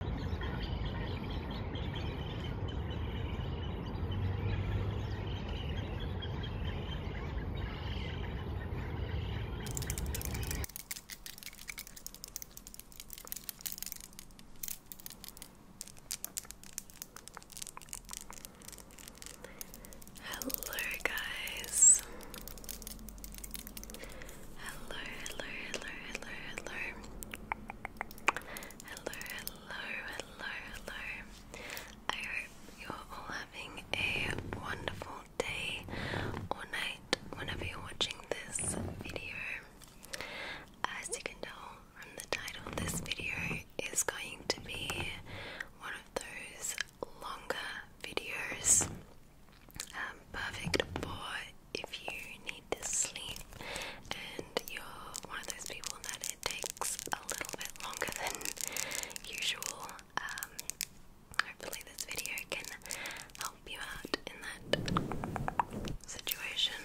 Hello, guys. Hello, hello, hello, hello, hello. Hello, hello, hello, hello. I hope you're all having a wonderful day or night whenever you're watching this video. As you can tell from the title, this video is going to be one of those longer videos. Um, perfect for if you need to sleep and you're one of those people that it takes a little bit longer than usual, um, hopefully this video can help you out in that situation.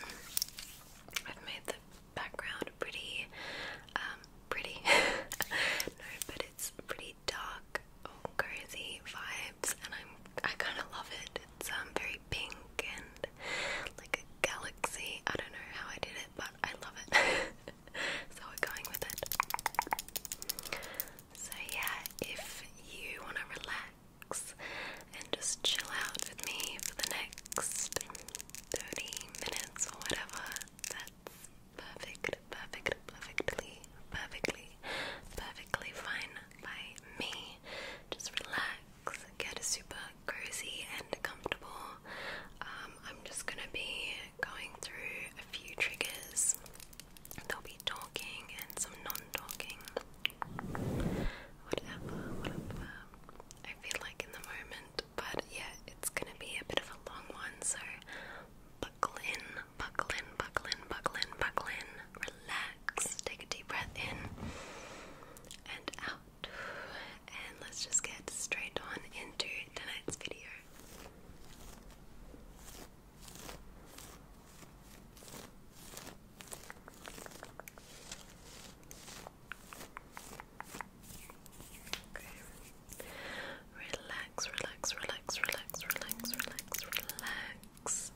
I've made the background pretty, um, pretty, no, but it's pretty dark, oh, vibes, and I'm, I kind of love it. It's um, very pink and like a galaxy. I don't know how I did it, but I love it. so we're going with it. So yeah, if you want to relax and just chill out with me for the next 30 minutes or whatever, that's perfect, perfect, perfectly, perfectly perfectly fine by me. Just relax, get super cozy and comfortable. Um, I'm just gonna be going through a few triggers. There'll be talking and some non-talking. whatever. I feel like in the moment, but yeah, it's gonna be a bit of a long one, so buckle in, buckle in, buckle in, buckle in, buckle in, relax. Take a deep breath in and out. And let's just get straight on into tonight's video. Okay. Relax, relax, relax, relax, relax, relax, relax. Just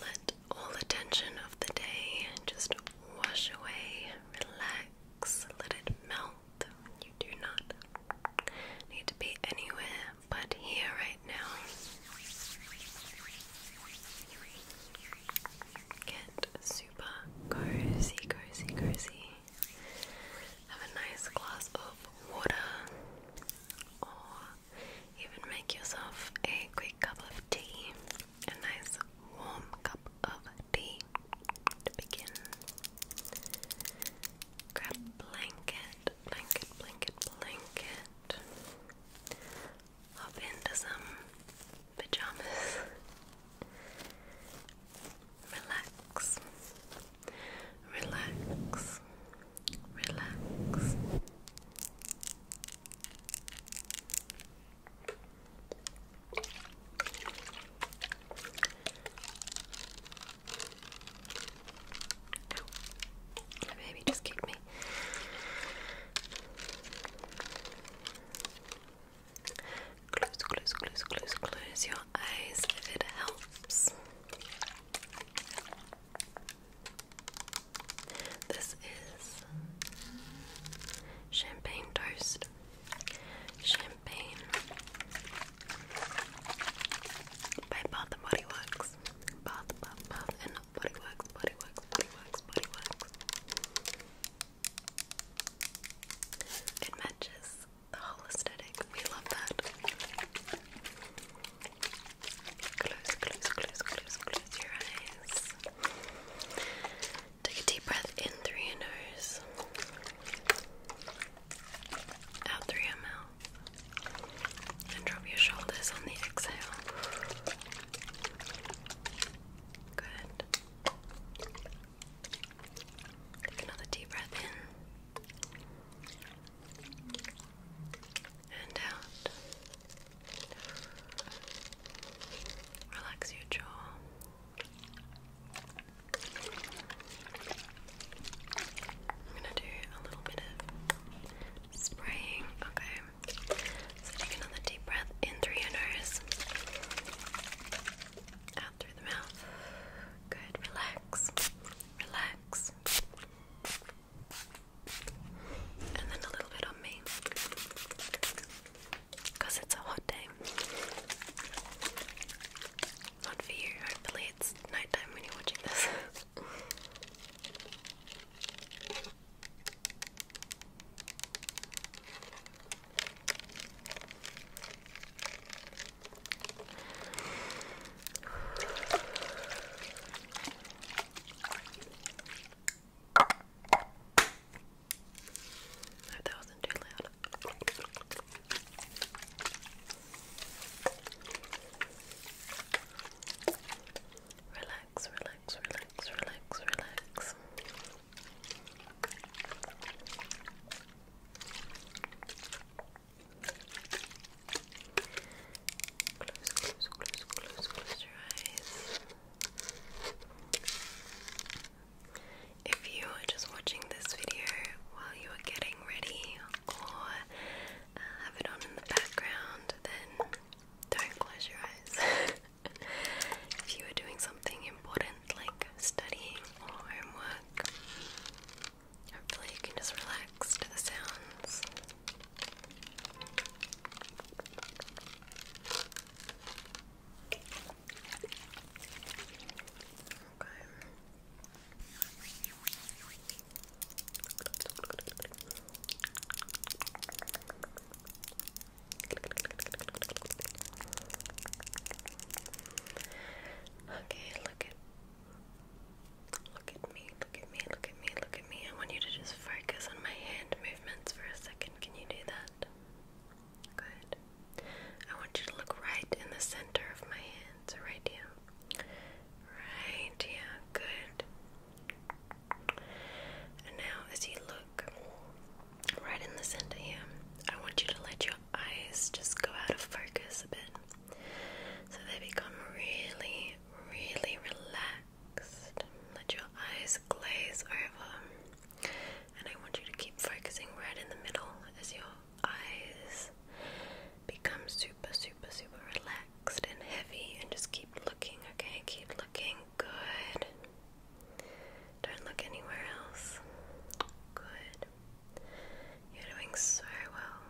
let all the tension of the day just wash away, relax, let it melt. You do not need to be anywhere but here right now. Get super cozy, cozy, cozy. Have a nice glass of water even make yourself a quick cup of tea, a nice warm cup of tea to begin. Grab blanket, blanket, blanket, blanket. Hop into some pajamas. Relax, relax, relax. The baby just kicked me. Close, close, close, close, close your eyes if it helps. This is champagne toast, champagne by Bath and Body Works, Body Works, Body Works, Body Works, It matches the whole aesthetic. We love that. Close, close, close, close, close your eyes. Take a deep breath in through your nose, out through your mouth, and drop your shoulders on the exhale. Good. another deep breath in and out. Relax your jaw. I'm gonna do a little bit of spraying. Okay. So take another deep breath in through your nose. Out through the mouth. Good. Relax. Relax and then a little bit on me because it's a hot day. Not for you, hopefully, it's nighttime when you're watching this that wasn't too loud. Relax, relax, relax, relax, relax. Close, close, close, close, close your eyes. If you are just watching this video while you are getting ready or have it on in the background, then don't close your eyes. if you are doing something important like studying or homework, hopefully you can just relax to the sounds. Okay, look at Look at me, look at me, look at me, look at me. I want you to just focus on my hand movements for a second. Can you do that? Good. I want you to look right in the center of my hand, right here. Right here, good. And now, as you look right in the center here, I want you to let your eyes just go out of focus a bit so they become really, really relaxed. Let your eyes glaze over. And I want you to keep focusing right in the middle as your eyes become super, super, super relaxed and heavy. And just keep looking, okay? Keep looking. Good. Don't look anywhere else. Good. You're doing so well.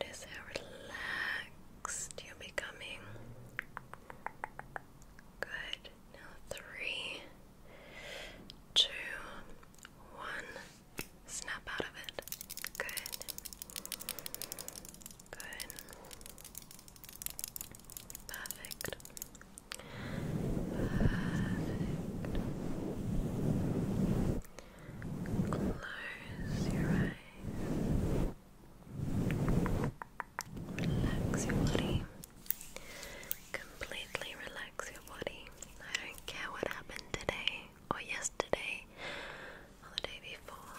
Notice how relaxed you're becoming. Good. Now, three, two, one. Snap out of it. Good. Good. Perfect. Perfect. Close your eyes. Relax your body. Completely relax your body. I don't care what happened today or yesterday or the day before.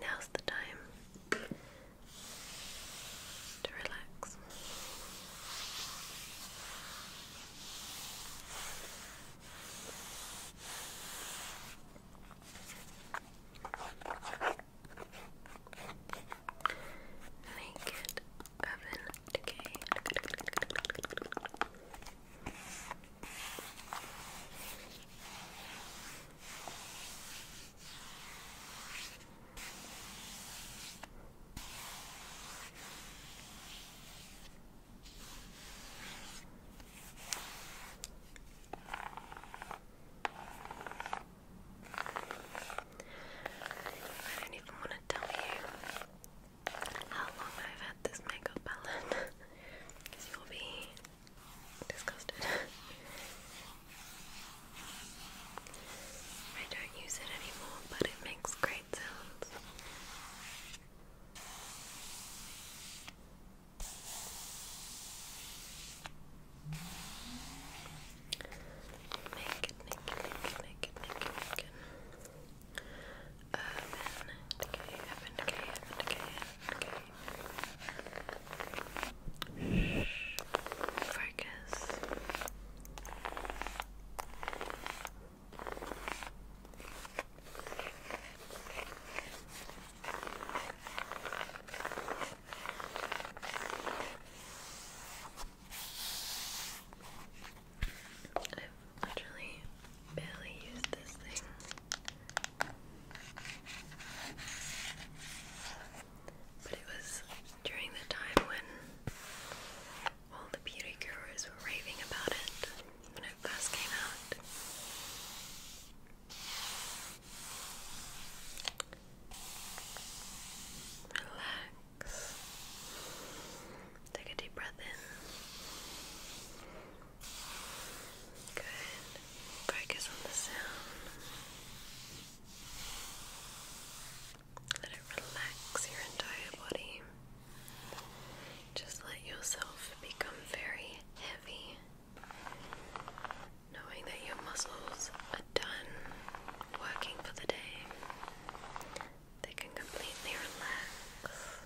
Now's the time to relax. Make it oven decay. Okay. I don't even want to tell you how long I've had this makeup palette because you'll be disgusted. I don't use it anymore, but it makes great sounds. Naked, naked, naked, naked, naked, naked. Urban decay, urban decay, urban decay, urban decay. Shh. Focus. I've literally barely used this thing. But it was during the time when all the beauty gurus were raving about it, it first came out. Relax. Take a deep breath in. Good. Focus on the sound. Let it relax your entire body. Just let yourself become very heavy, knowing that your muscles are done working for the day. They can completely relax.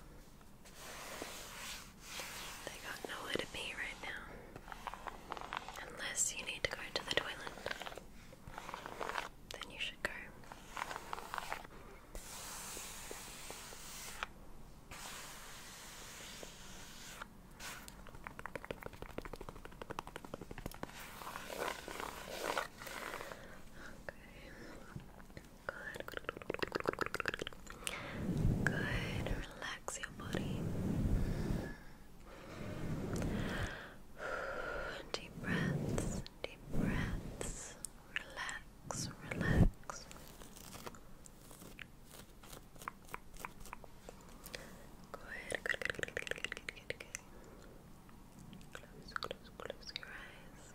They got nowhere to be right now. Unless you need to go to the toilet, then you should go. Good. Good. Relax your body. Deep breaths. Deep breaths. Relax relax. Good, good, good, good, good, good, good, Close, close, close your eyes.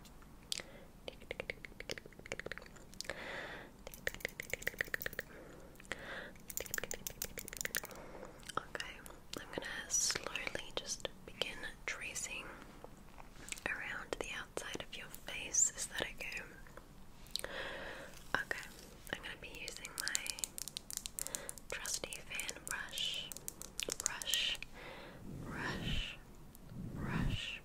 Okay, I'm gonna slowly just begin tracing around the outside of your face. Is Okay, I'm going to be using my trusty fan brush. Brush, brush, brush.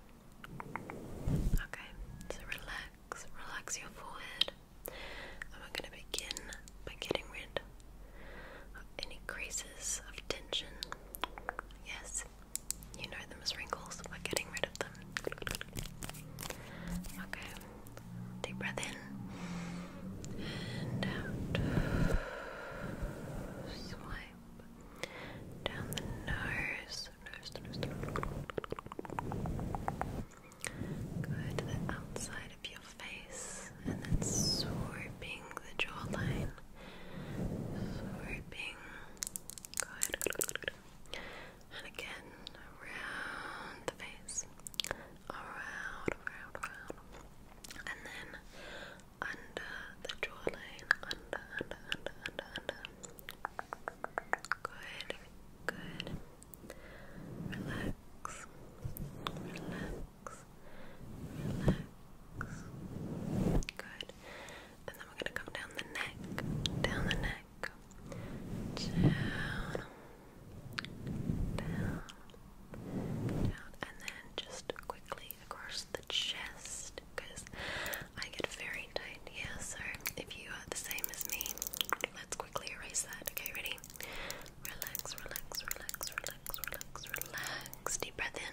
Okay, so relax, relax your forehead. And we're going to begin by getting rid of any creases of tension. Yes, you know them as wrinkles, we're getting rid of them. Okay, deep breath in and out. Swipe down the nose. Good, the outside of your face, and then swooping the jawline. Sweeping. And again, around the face. Around, around, around. And then under the jawline. Under, under, under, under, under. Good, good. Relax. Relax. Relax. Good and then we're gonna come down the neck, down the neck, down, down, down, and then just quickly across the chest because I get very tight here. so if you are the same as me, let's quickly erase that. Okay, ready? Relax, relax, relax, relax, relax, relax. Deep breath in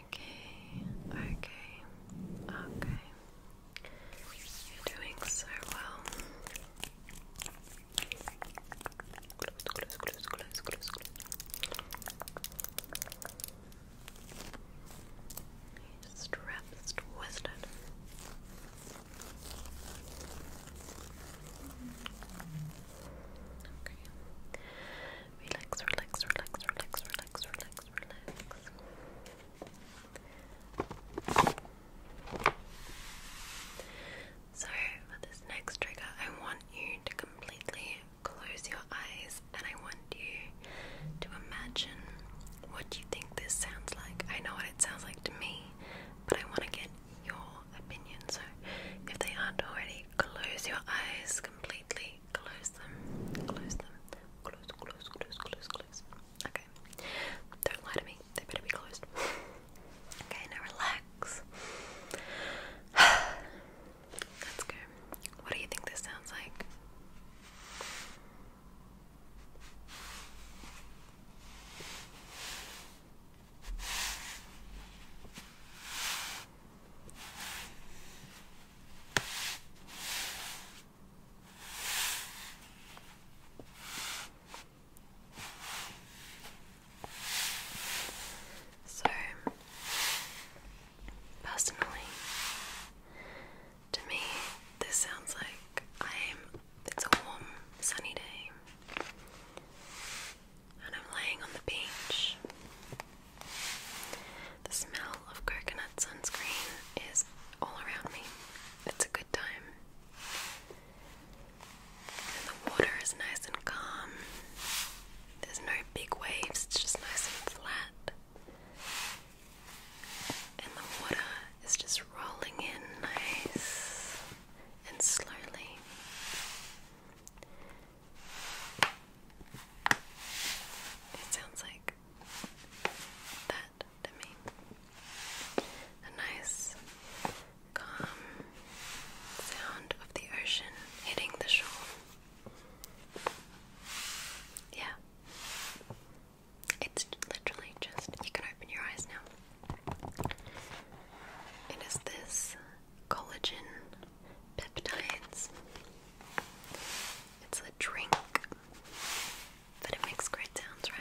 Okay, okay, okay. You're doing so well. Close, close, close, close, close. Strap is twisted. Okay. Relax, relax, relax, relax, relax, relax, relax. So, for this next trigger, I want you to completely close your eyes and I want you to imagine what you think this sounds like. I know what it sounds like to me, but I want to get your opinion. So, if they aren't already, close your eyes completely Okay, close them, close them, close, close, close, close, close. Okay, don't lie to me, they better be closed. okay, now relax. Let's go. What do you think this sounds like? Okay, so, personally, to me, this sounds like I'm. It's a warm, sunny day, and I'm laying on the beach the smell of coconut sunscreen is all around me. It's a good time. And the water is nice and calm. There's no big waves, it's just nice and flat. And the water is just rolling in nice and slowly. It sounds like that to me. A nice, calm sound of the ocean hitting the shore. Yeah. It's literally just, you can open your eyes now. It is this collagen peptides. It's a drink, but it makes great sounds, right?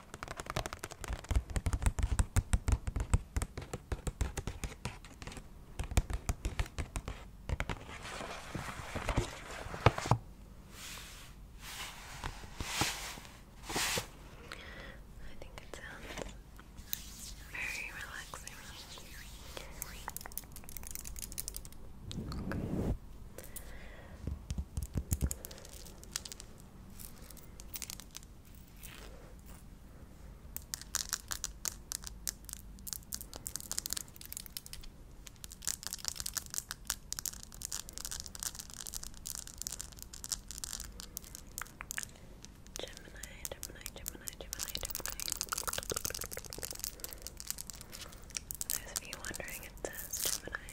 I think it sounds very relaxing. Gemini, Gemini, Gemini, Gemini, Gemini. Those of you wondering, it says Gemini.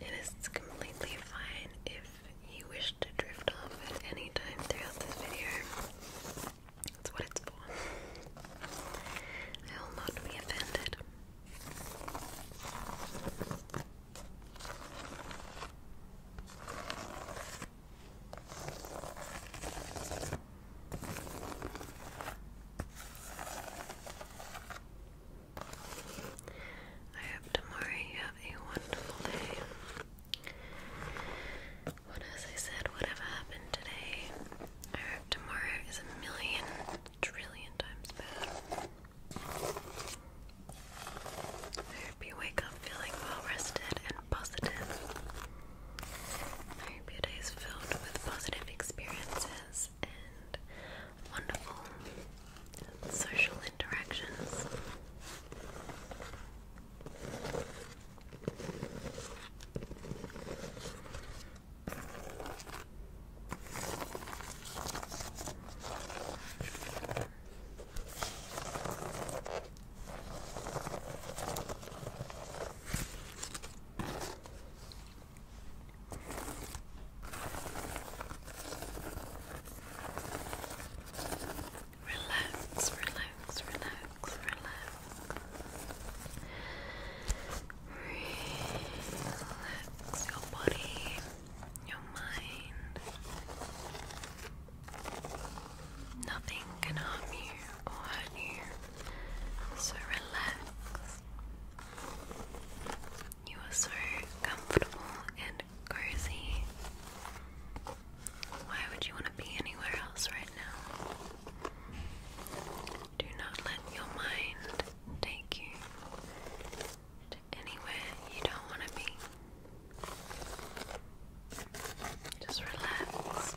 It is completely fine if you wish to drift off at any time throughout this video. That's what it's for. I will not be offended. I hope tomorrow you have a wonderful day. But as I said, whatever happened today, I hope tomorrow is a million, trillion times better. I hope you wake up feeling well rested and positive. I hope your day is filled with positive experiences and wonderful social interactions. Relax, relax, relax, relax. Relax your body, your mind. Nothing can harm you or hurt you. So relax. You are so comfortable and cozy. Why would you want to be anywhere else right now? Do not let your mind take you to anywhere you don't want to be. Just relax.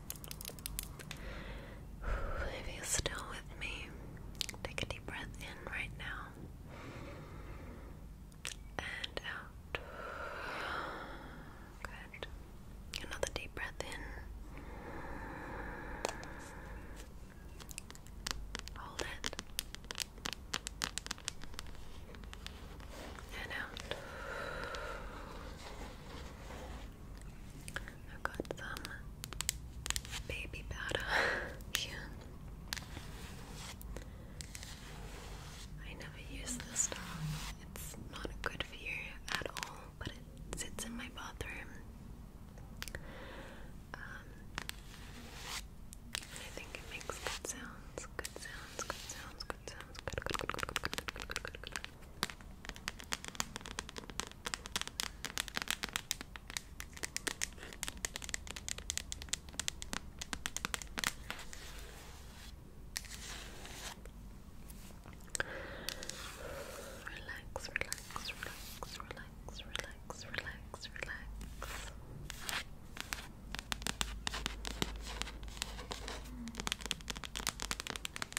If you're still with me, take a deep breath in right now and out. Good. Another deep breath in. Hold it. And out. I've got some baby powder. I never use this stuff. It's not good for you at all, but it sits in my bathroom. Um, I think it makes good sounds, good sounds, good sounds, good sounds, good. Relax, relax, relax, relax, relax, relax, relax. Mm. Okay, okay,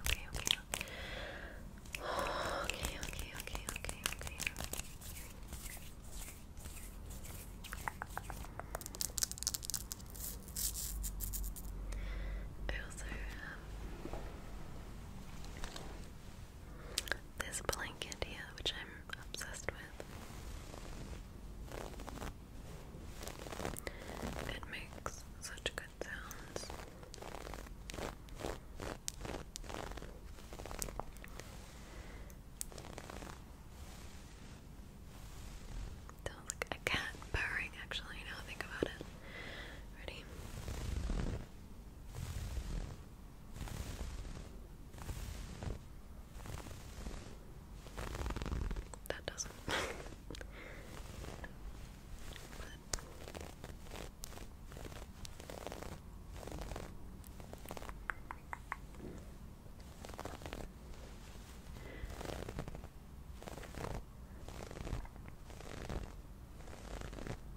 okay, okay. Okay, okay, okay, okay, okay. I also have this blanket here, which I'm obsessed with. It makes such good sounds. Sounds like a cat purring, actually, now think about it. Ready? That doesn't.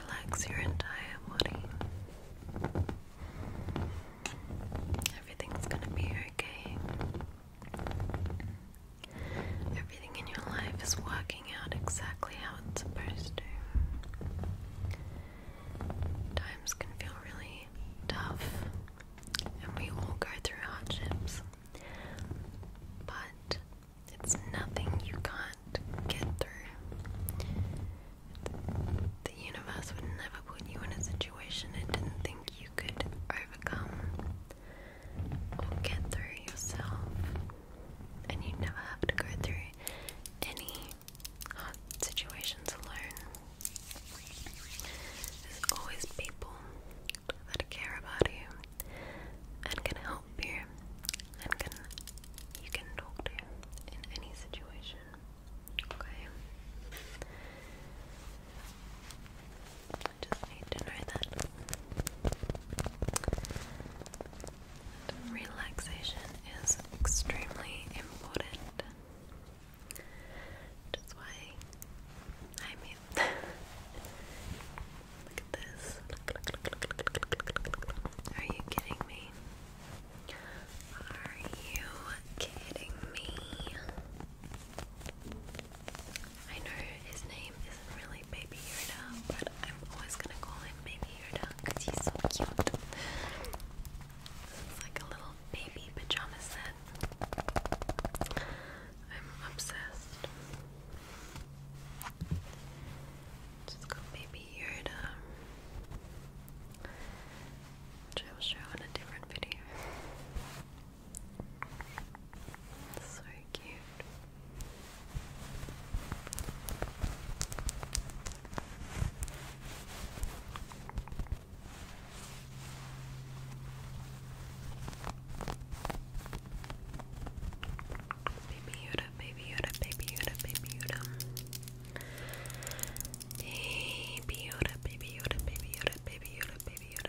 Relax your entire body. Everything's gonna be okay. Everything in your life is working out exactly how it's supposed to. Times can feel really tough, and we all go through hardships. But it's nothing you can't get through. The universe would never put you in a situation it didn't think you could overcome or get through yourself. And you never have to go through any hard situations alone. There's always people that care about you and can help and can you can talk to in any situation. Okay. I just need to know that relaxation is extremely important. That's why I'm Look at this. Are you kidding me? Are you kidding me? I know his name isn't really Baby Yoda, but I'm always gonna call him Baby Yoda because he's so cute. This like a little baby pajama set. I'm obsessed. Just go maybe here to show in a different video. So cute. Maybe you baby baby Yoda, baby Yoda. Baby Yoda, baby Yoda, baby Yoda, baby Yoda, baby Yoda.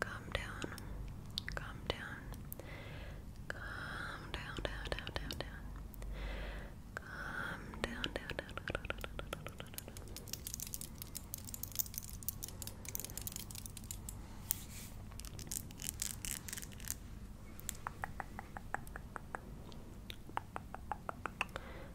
Calm down. Calm down. Calm down, down, down, down, down. Calm down, down, down, down, down, down, down, down, down, down. Calm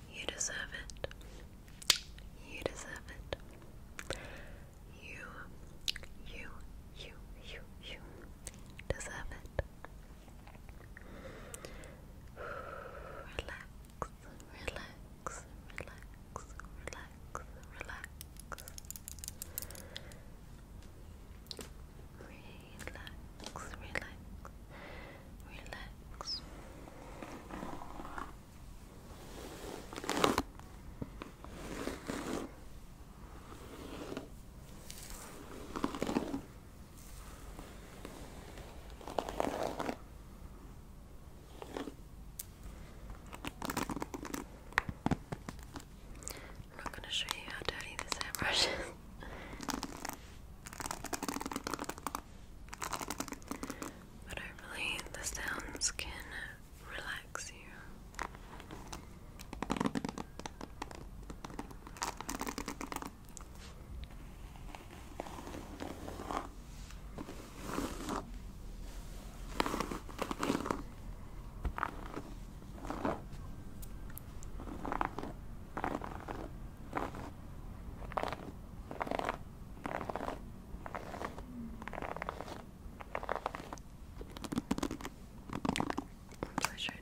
You deserve it. You deserve it. You, you, you, you, you deserve it. Relax, relax, relax, relax, relax relax, relax, relax. I'm not going to show you how dirty this hairbrush is. But hopefully, the sounds can relax you. Pleasure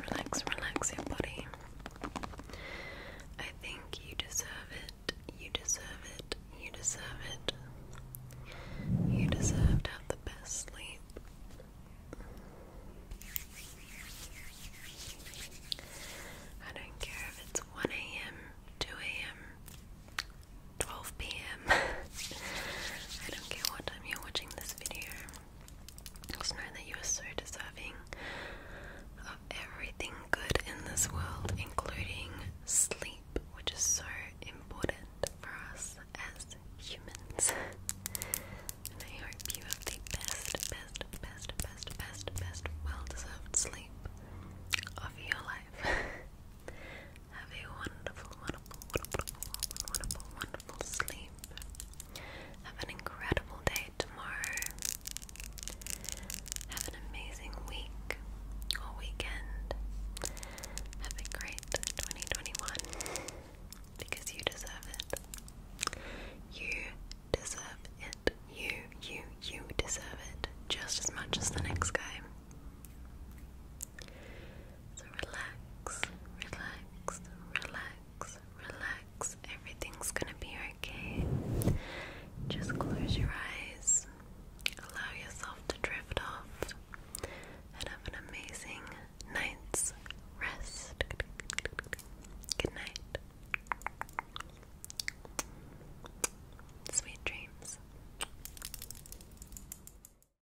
Relax, relax, relax your body. I think you deserve it. You deserve it. You deserve it. You deserve to have the best sleep. I don't care if it's 1 a.m., 2 a.m., 12 p.m., I don't care what time you're watching this video. Just know that you are so deserving of everything good in this world, including sleep, which is so important for us as humans. and I hope you have the best, best, best, best, best, best, well deserved sleep of your life. Have a wonderful, wonderful, wonderful, wonderful, wonderful sleep. Have an incredible day tomorrow. Have an amazing week or weekend. Have a great 2021 because you deserve it. You deserve it. You, you, you deserve it just as much as the next guy. So relax, relax, relax, relax. Everything's gonna be okay. Just close your eyes, allow yourself to drift off, and have an amazing night's rest. Good night. Sweet dreams.